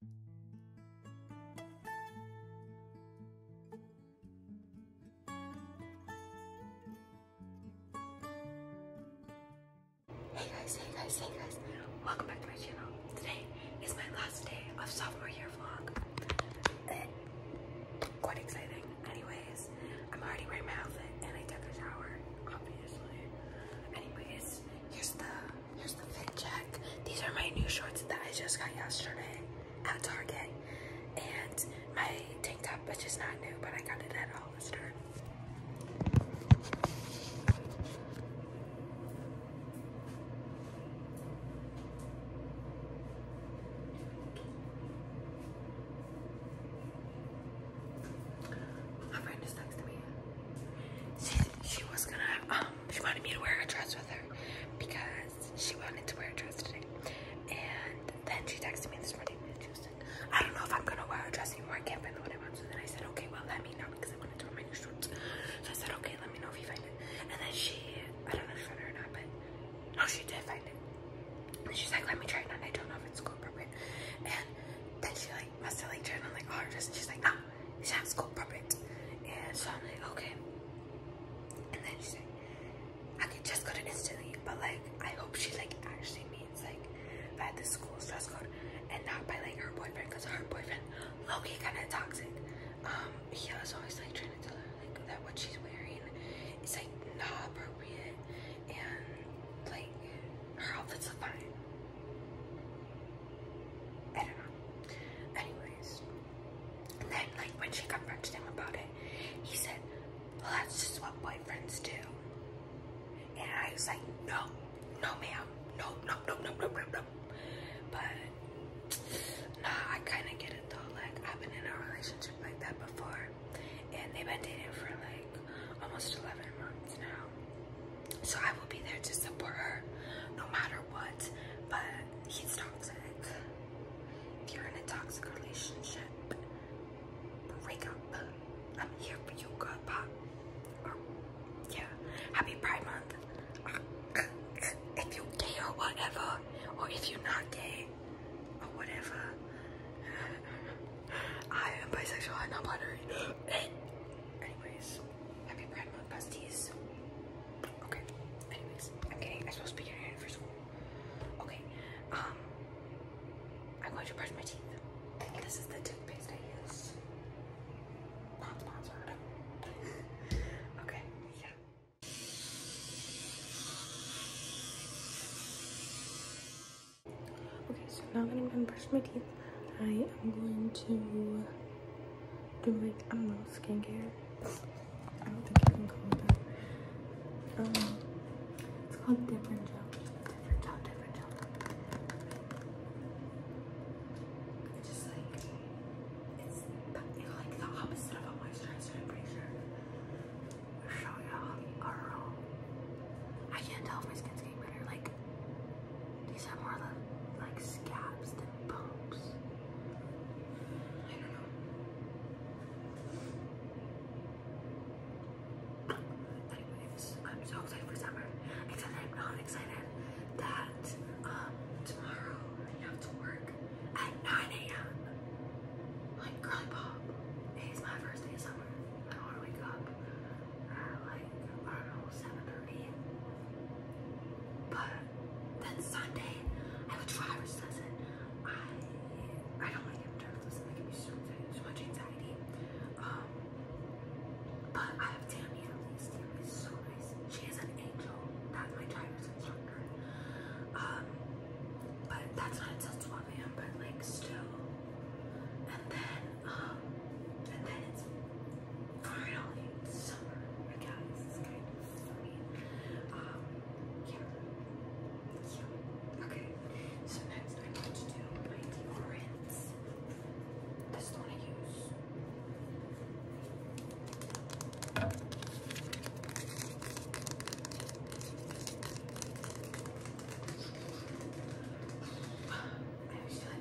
Hey guys, hey guys, hey guys, welcome back to my channel. Today is my last day of sophomore year vlog. Eh, quite exciting. Anyways, I'm already wearing my outfit and I took a shower, obviously. Anyways, here's the Here's the fit These are my new shorts that I just got yesterday at Target. And my tank top, which is not new, but I got it at Hollister. My friend is next to me. She, was gonna um, she wanted me to wear a dress with her because she wanted to wear a dress today. And then she texted me this morning and she was like, I don't know if I'm gonna wear a dress anymore. I can't find the one I want. So then I said, okay, well let me know because I am going to wear my new shorts. So I said, okay, let me know if you find it. And then she, I don't know if she found it or not, but no, she did find it. And she's like, let me try it on. I don't know if it's school appropriate. And then she like must have like turned on like all her dress and she's like, no, sounds cool, perfect. And so I'm like, okay. And then she's like, I could dress code instantly, but like, I hope she like actually means like that the school's dress code and not by like her boyfriend, cause her boyfriend, Loki, kind of toxic. Um, he was always like trying to tell her like that what she's wearing is like not appropriate, and like her outfits are fine. I don't know. Anyways, and then like when she confronted him about it, he said, "Well, that's just what boyfriends do." And I was like, "No, no, ma'am, no, no, no, no, no, no, no." But nah, I kind of get it though. Like I've been in a relationship like that before, and they've been dating for like almost 11 months now. So I will be there to support her no matter what. But he's toxic. If you're in a toxic relationship, break up. I'm here for you, girl pop. yeah. Happy Pride Month. If you're gay or whatever, or if you're not gay or whatever, I am bisexual and not binary. Anyways, happy Pride Month, besties. Okay. Anyways, I'm getting. I'm supposed to be getting ready for school. Okay. Um, I'm going to brush my teeth. This is the toothpaste I use. Not sponsored. okay. Yeah. Okay, so now I'm done brushing my teeth, I am going to do my I'm skincare. Um, it's called different gel. Different gel, different gel. just like it's like the opposite of a moisturizer. I'm pretty Show y'all, girl. I can't tell if my skin's getting better. Like these are more like scabs than bumps. I don't know. I'm so excited for summer. Except I'm not excited that um, tomorrow I have to work at 9 a.m. Like, girly pop. It's my first day of summer. I don't want to like I But then Sunday, I have driver's lesson. I I don't like driver's lesson. That can be so, much anxiety. Um, but I have Tammy at least. Tammy so nice. She is an angel. That's my driver's instructor. Um, but that's not until 12 But like still, and then um, and then it's Finally, summer. I guess it's kind of funny. Um, yeah. Yeah. Okay. So next I want to do my deodorants. This is the use. I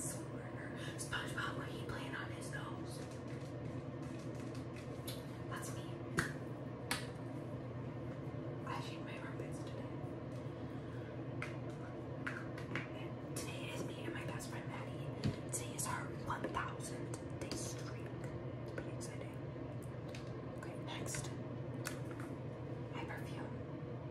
feel like SpongeBob, what he playing on his nose? That's me. I my armpits today. today is me and my best friend Maddie. Today is her 1,000th day streak. Pretty exciting. Okay, next. My perfume.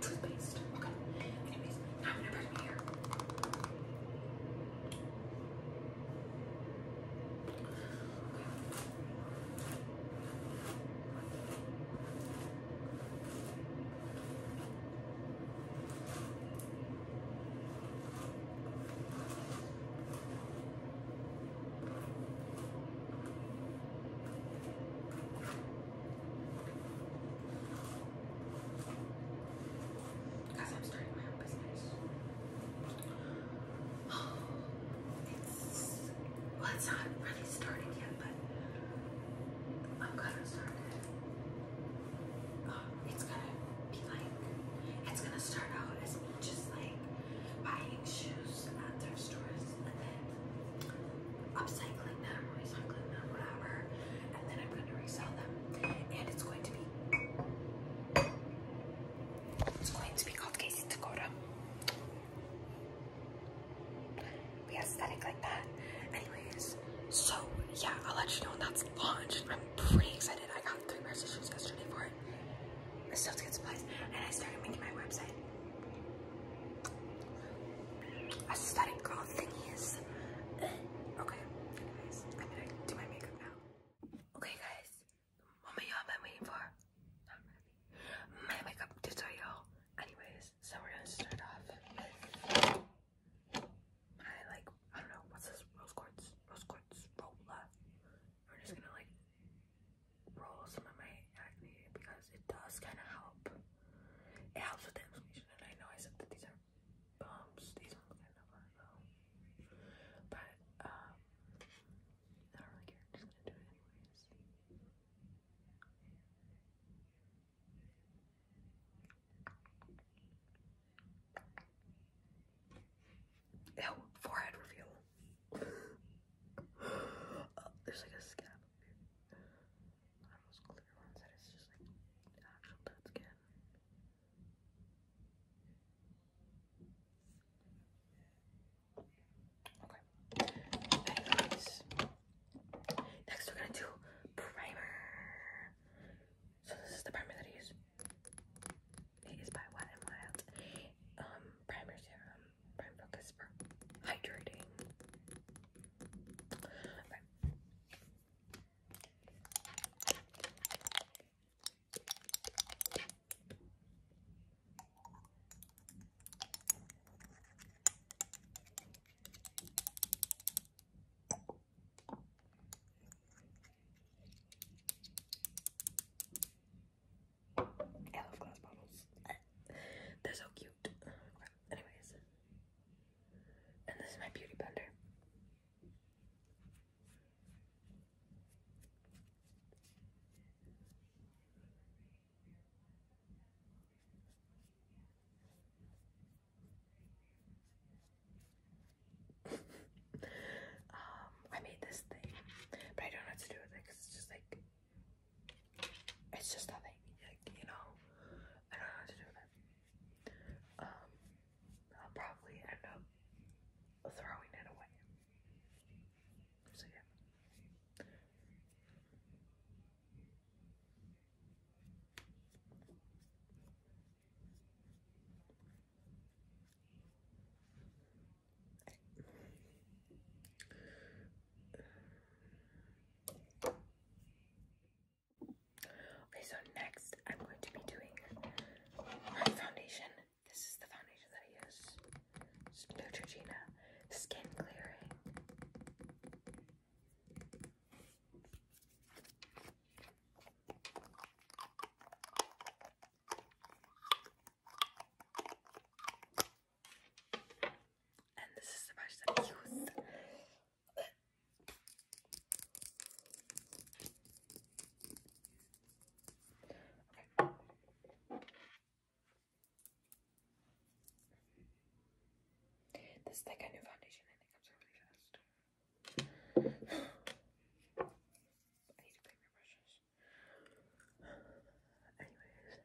toothpaste. Okay. Anyways, I'm gonna bring it here. Okay. Because I'm starting my own business. Oh, it's, well, it's not really starting yet, but I'm gonna start it. Um, it's gonna be like, it's gonna start out as me just like buying shoes at thrift stores upcycling them, recycling them, whatever and then I'm going to resell them. And it's going to be it's going to be called Casey Dakota. We aesthetic like that. Anyways, so yeah, I'll let you know when that's launched. I'm pretty excited. I got three pairs of shoes yesterday for it. I still to get supplies. And I started making my website aesthetic girl thingies. Uh, okay, anyways, I'm gonna do my makeup now. Okay guys, what moment y'all been waiting for? My makeup tutorial. Anyways, so we're gonna start off with like, I don't know, what's this? Rose quartz, rose quartz roller. We're just gonna like roll some of my acne because it does kind of help it helps with the inflammation, and I know I said that these are bumps. These ones I never know, but um, I don't really care. just gonna do it anyways. Ew, forehead reveal. Uh, there's like a scab. Okay. Anyways, next we're gonna do primer. So this is the primer that I use. It is by Wet n Wild. Um, primer serum, prime focus for hydrating. I love glass bottles. They're so cute. Anyways, and this is my beauty blender. um, I made this thing, but I don't know what to do with it because it's just like it's just nothing, like you know. I don't know how to do it. Um, I'll probably end up throwing it away. So yeah. Okay, so next I'm going to be doing my foundation. This is the foundation that I use. Neutrogena Skin Clearing. And this is the brush that I use. This is like a new foundation it comes really fast. I need to clean my brushes. Anyways,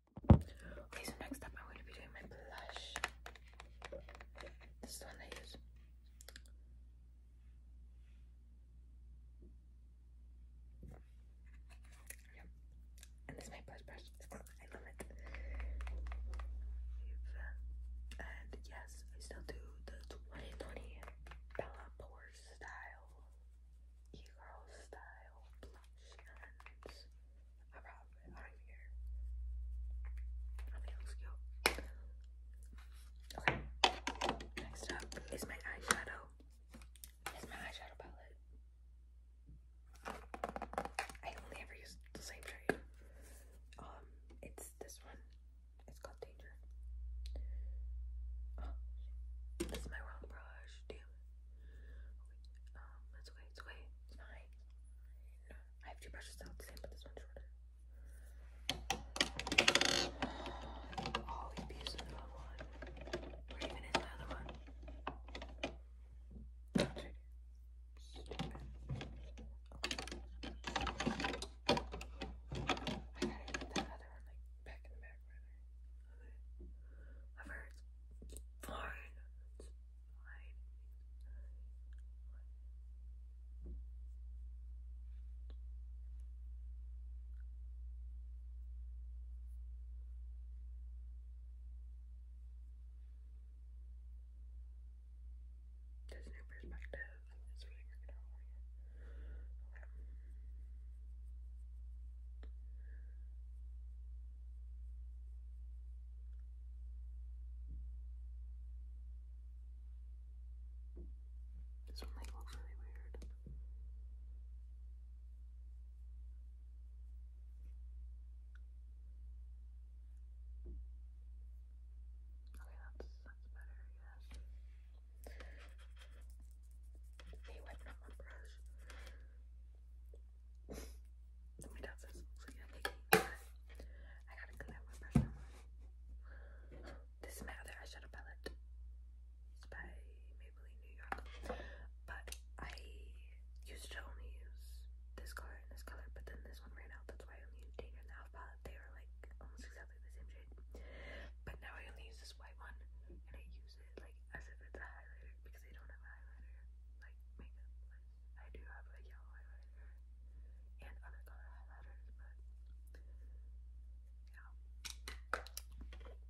Okay, so next up, I'm going to be doing my blush. This is one I use. Yep. And this is my blush brush. I love it. Uh, and yes, I still do the 2020 Bella Pore style e-girl style blush I don't even care. I think it looks cute. Okay. Next up is my eyeshadow. It's my eyeshadow palette. I only ever use the same shade. Um, it's this one. It's called Danger. Oh, this is my wrong brush damn Okay, it's okay, it's fine. I have two brushes out the same, but this one's shorter. I'll using the other one. Where even is my other one? I gotta get that other one like back in back, rather. I've heard it's fine. It's fine. This new perspective is really working out for you. Okay. This one might look really weird. Okay, that's that's better, I guess. Hey, wiping my brush. I gotta This is my other eyeshadow palette. It's by Maybelline New York. But I used to only use this color this color, but then this one ran out. That's why I only used the Half palette. They were like almost exactly the same shade. But now I only use this white one and I use like as if it's a highlighter because I don't have a highlighter like makeup. I do have a yellow highlighter and other color highlighters, but yeah. I just have my highlighter,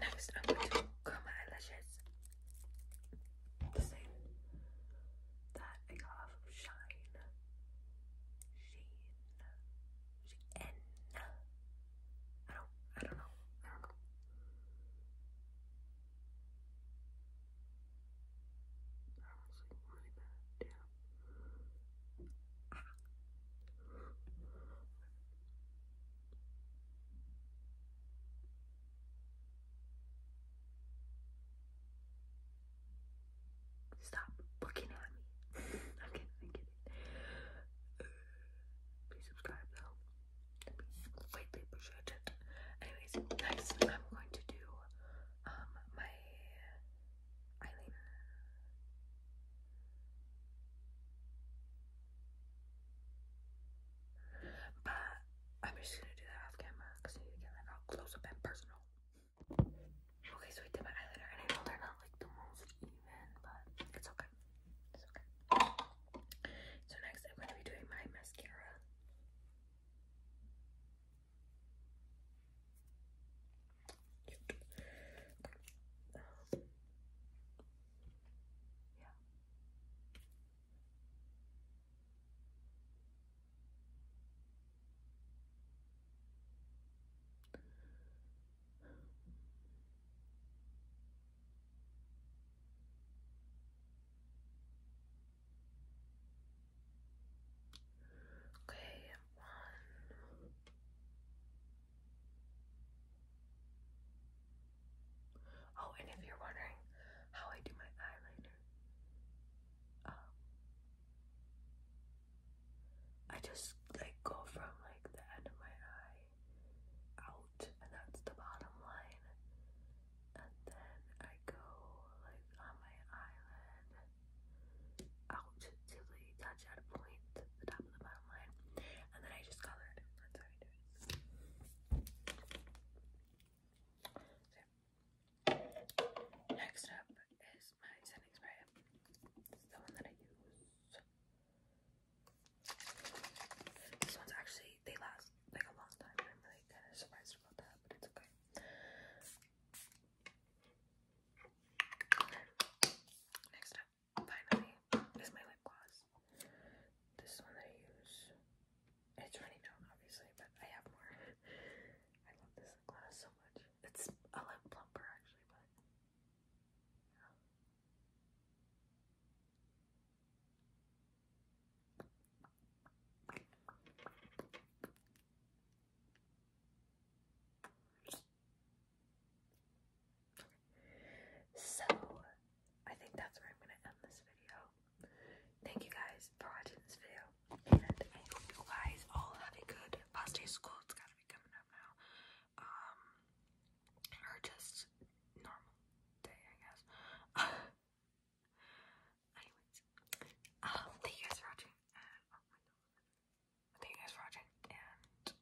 Next, I'm going to comb my eyelashes the same that I got of Shine. Sheen. Sheen. I don't, I don't know. I don't know. That was like Damn. Stop looking at me. I'm kidding, I'm kidding. please subscribe though. White paper Anyways, next I'm going to do um my eyeliner. But I'm just gonna do that off camera because I need to get like all close up and personal. Okay, so I did my eyeliner and I know they're not like the most even, but it's okay. It's okay. So next I'm gonna be doing my mascara. yeah. Okay, one. Oh, and if you're wondering how I do my eyeliner, um, I just like go from like the end of my eye out, and that's the bottom line, and then I go like on my eyelid out to the touch at a point, the top of the bottom line, and then I just color it. That's how I do it. So, next up is my setting spray. It's the one that I use. These ones actually, they last like a long time. I'm really kind of surprised about that, but it's okay. Next up, finally, is my lip gloss. This one that I use, it's running out, obviously, but I have more. I love this glass so much. It's a lot plumper actually, but yeah. So, I think that's where I'm going to end this video. Thank you guys for watching this video, and I hope you guys all have a good past day of school. It's gotta be coming up now, um, or just normal day, I guess. Anyways, um, thank you guys for watching. Oh, thank you guys for watching, yeah,